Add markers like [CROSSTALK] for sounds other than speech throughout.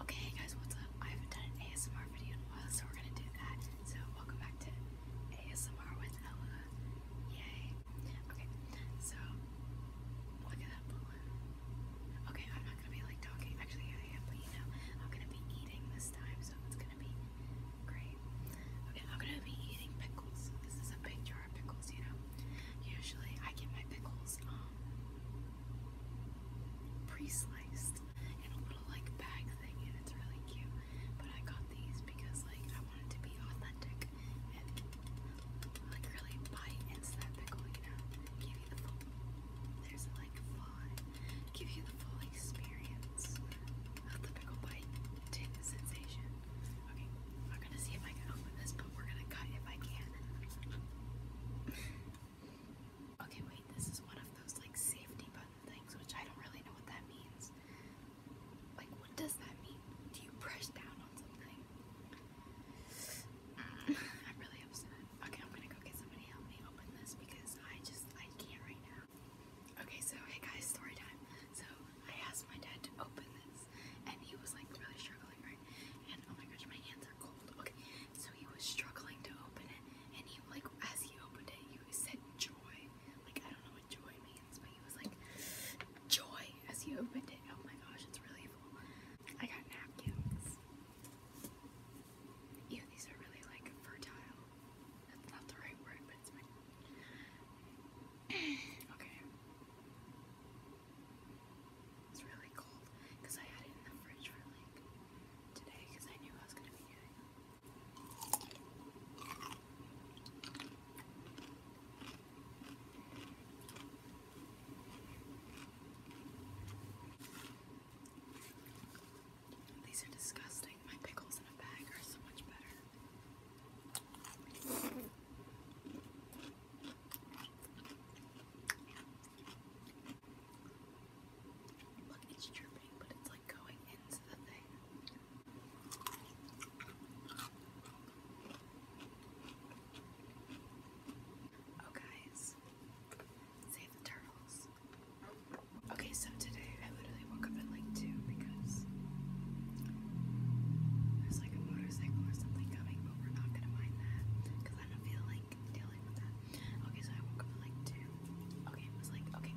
Okay, guys, what's up? I haven't done an ASMR video in a while, so we're gonna do that. So, welcome back to ASMR with Ella. Yay! Okay, so look at that balloon. Okay, I'm not gonna be like talking. Actually, I am, but you know, I'm gonna be eating this time, so it's gonna be great. Okay, I'm gonna be eating pickles. This is a big jar of pickles, you know. Usually, I get my pickles um, pre-sliced in a little like bag thing and it's really cute. But I got these because like I wanted to be authentic and like really bite into that pickle, give you the full there's like give you the full experience of the pickle bite sensation. Okay. I'm gonna see if I can open this, but we're gonna cut if I can. okay, wait, this is one of those like safety button things, which I don't really know what that means. Like, what does that mean? Do you press down on something? [SIGHS] I'm really upset. Okay, I'm gonna go get somebody help me open this because I just I can't right now. Okay, so hey guys, story time. So I asked my dad to open this. And he was like really struggling, right? And oh my gosh, my hands are cold. Okay, so he was struggling to open it, and he like as he opened it, he said joy. Like I don't know what joy means, but he was like joy as he opened it. Oh my gosh, it's really full. I got napkins. Yeah, these are really like fertile. That's not the right word, but it's [CLEARS THROAT] okay. It's really cold because I had it in the fridge for like today because I knew I was gonna be doing These are disgusting. My pickles in a bag are so much better. Look, it's dripping, but it's like going into the thing. Oh, guys, save the turtles. Okay, so today I literally woke up like like because there's like a motorcycle or something coming, but we're not gonna mind that because I don't feel like dealing with that. Okay, so I woke up at like two. Okay, it was like okay.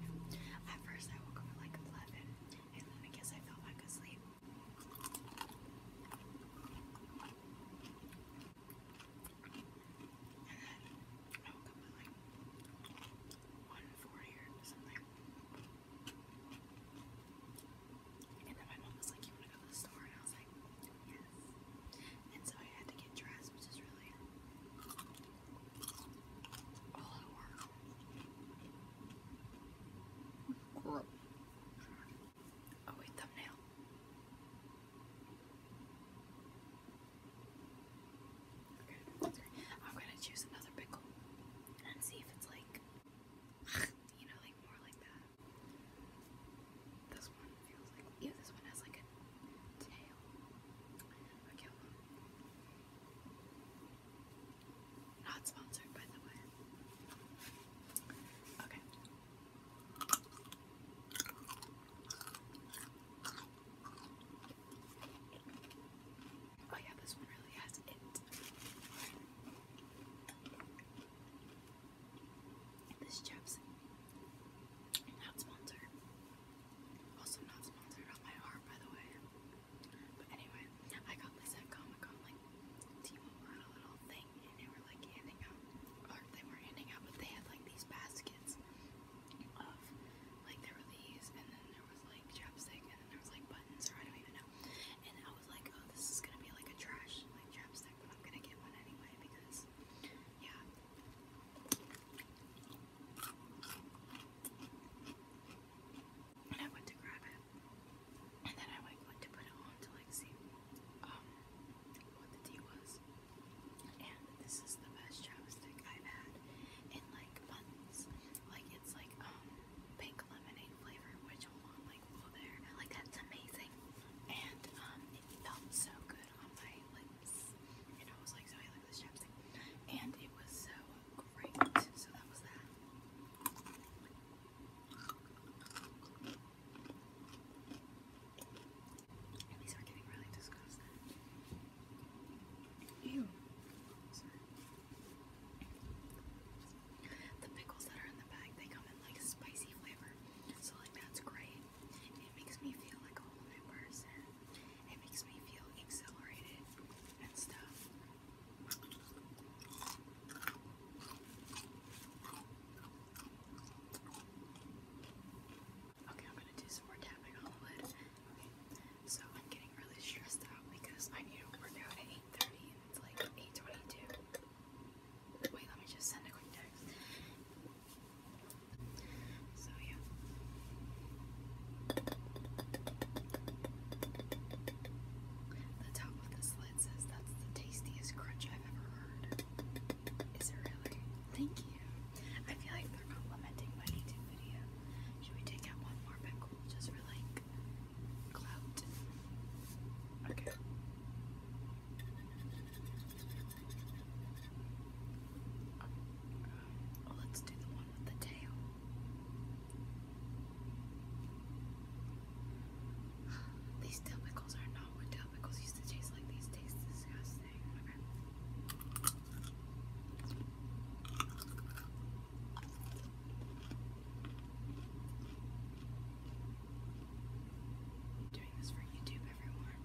At first, I woke up at like eleven, and then I guess I fell back asleep. And then I woke up at like 140 or something. And then my mom was like, You want to go to the store? And I was like, Yes. And so I had to get dressed, which is really all at work. Oh, wait, thumbnail. I'm gonna choose another pickle and see if it's like, [LAUGHS] you know, like more like that. This one feels like, yeah, this one has like a tail. Okay, Not sponsored, by the way. Okay. Oh yeah, this one really has it. This chef's not sponsored. Also not sponsored on my arm, by the way. But anyway, I got this at Comic Con, like t had a little thing, and they were like handing out, or they were handing out, but they had like these baskets of like there were these and then there was like chapstick and then there was like buttons or I don't even know. And I was like, oh this is gonna be like a trash like chapstick, but I'm gonna get one anyway because yeah. And I went to grab it. And then I like went to put it on to like see um what the tea was. And this is the best chapstick I've had in like like Like it's like um pink lemonade flavor, which hold like well there. Like that's amazing. And um it felt so good on my lips. And I was like, so I like this chapstick. And it was so great. So that was that. At are getting really disgusted. Ew. Sorry. The pickles that are in the bag, they come in like spicy flavor. So like that's great. It makes me feel like a whole new person. It makes me feel exhilarated and stuff. Okay, I'm gonna do some more tapping on the lid. Okay, so I'm getting really stressed out because I need to work out at 8.30 and it's like 8.22. Wait, let me just send a quick text. So yeah. The top of this lid says that's the tastiest crunch I've ever heard. Is it really? Thank you. I feel like they're complimenting my YouTube video. Should we take out one more pickle just for like clout? Okay. let's do the one with the tail. [SIGHS] These tail are not topicals used disgusting. doing this for YouTube, everyone.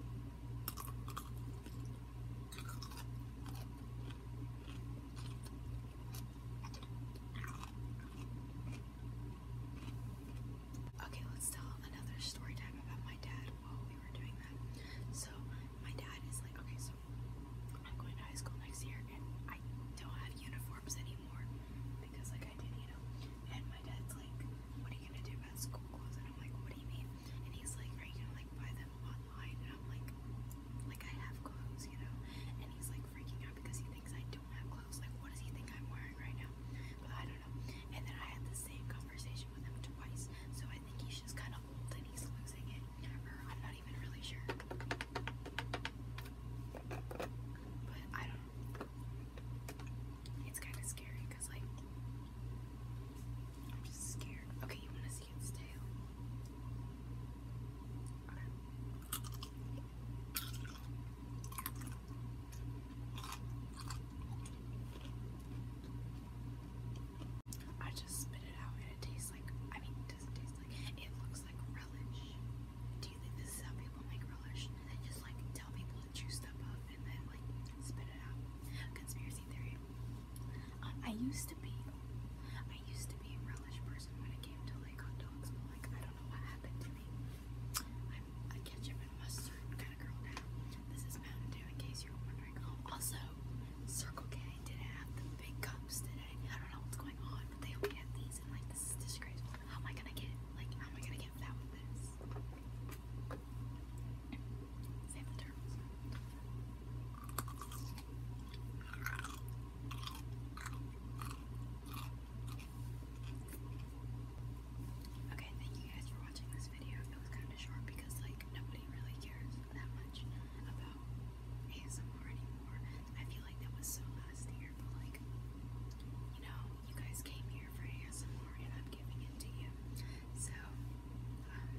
Okay, let's tell another story time about my dad while we were doing that. So my dad is like, okay, so I'm going to high school next year and I don't have uniforms anymore because like I did, you know. And my dad's like, what are you gonna do about school clothes? And I'm like, what do you mean? And he's like, are you gonna like buy them online? And I'm like, like I have clothes, you know. And he's like freaking out because he thinks I don't have clothes. Like, what does he think I'm wearing right now? But I and then I had the same conversation with him twice, so I think he's just kind of old and he's losing it. Or I'm not even really sure. But I don't know. It's kind of scary because, like, I'm just scared. Okay, you want to see its tail? Okay. I just spit it out and it tastes like, I mean, it doesn't taste like, it looks like relish. Do you think this is how people make relish? They just like tell people to chew stuff up and then like spit it out. Conspiracy theory. Um, I used to be, I used to be a relish person when it came to like hot dogs, but like I don't know what happened to me. I'm a ketchup and mustard kind of girl now. This is Mountain Dew, in case you were wondering. Also, Circle K did have the big cups today. I don't know what's going on, but they only had these, and like, this is disgraceful. How am I gonna get, like, how am I gonna get fat with this? Save the turtles. Okay, thank you guys for watching this video. It was kind of short because, like, nobody really cares that much about ASMR anymore. I feel like that was so last year, but, like, you know, you guys came here for ASMR and I'm giving it to you. So, um,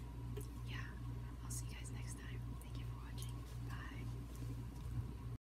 yeah, I'll see you guys next time. Thank you for watching. Bye.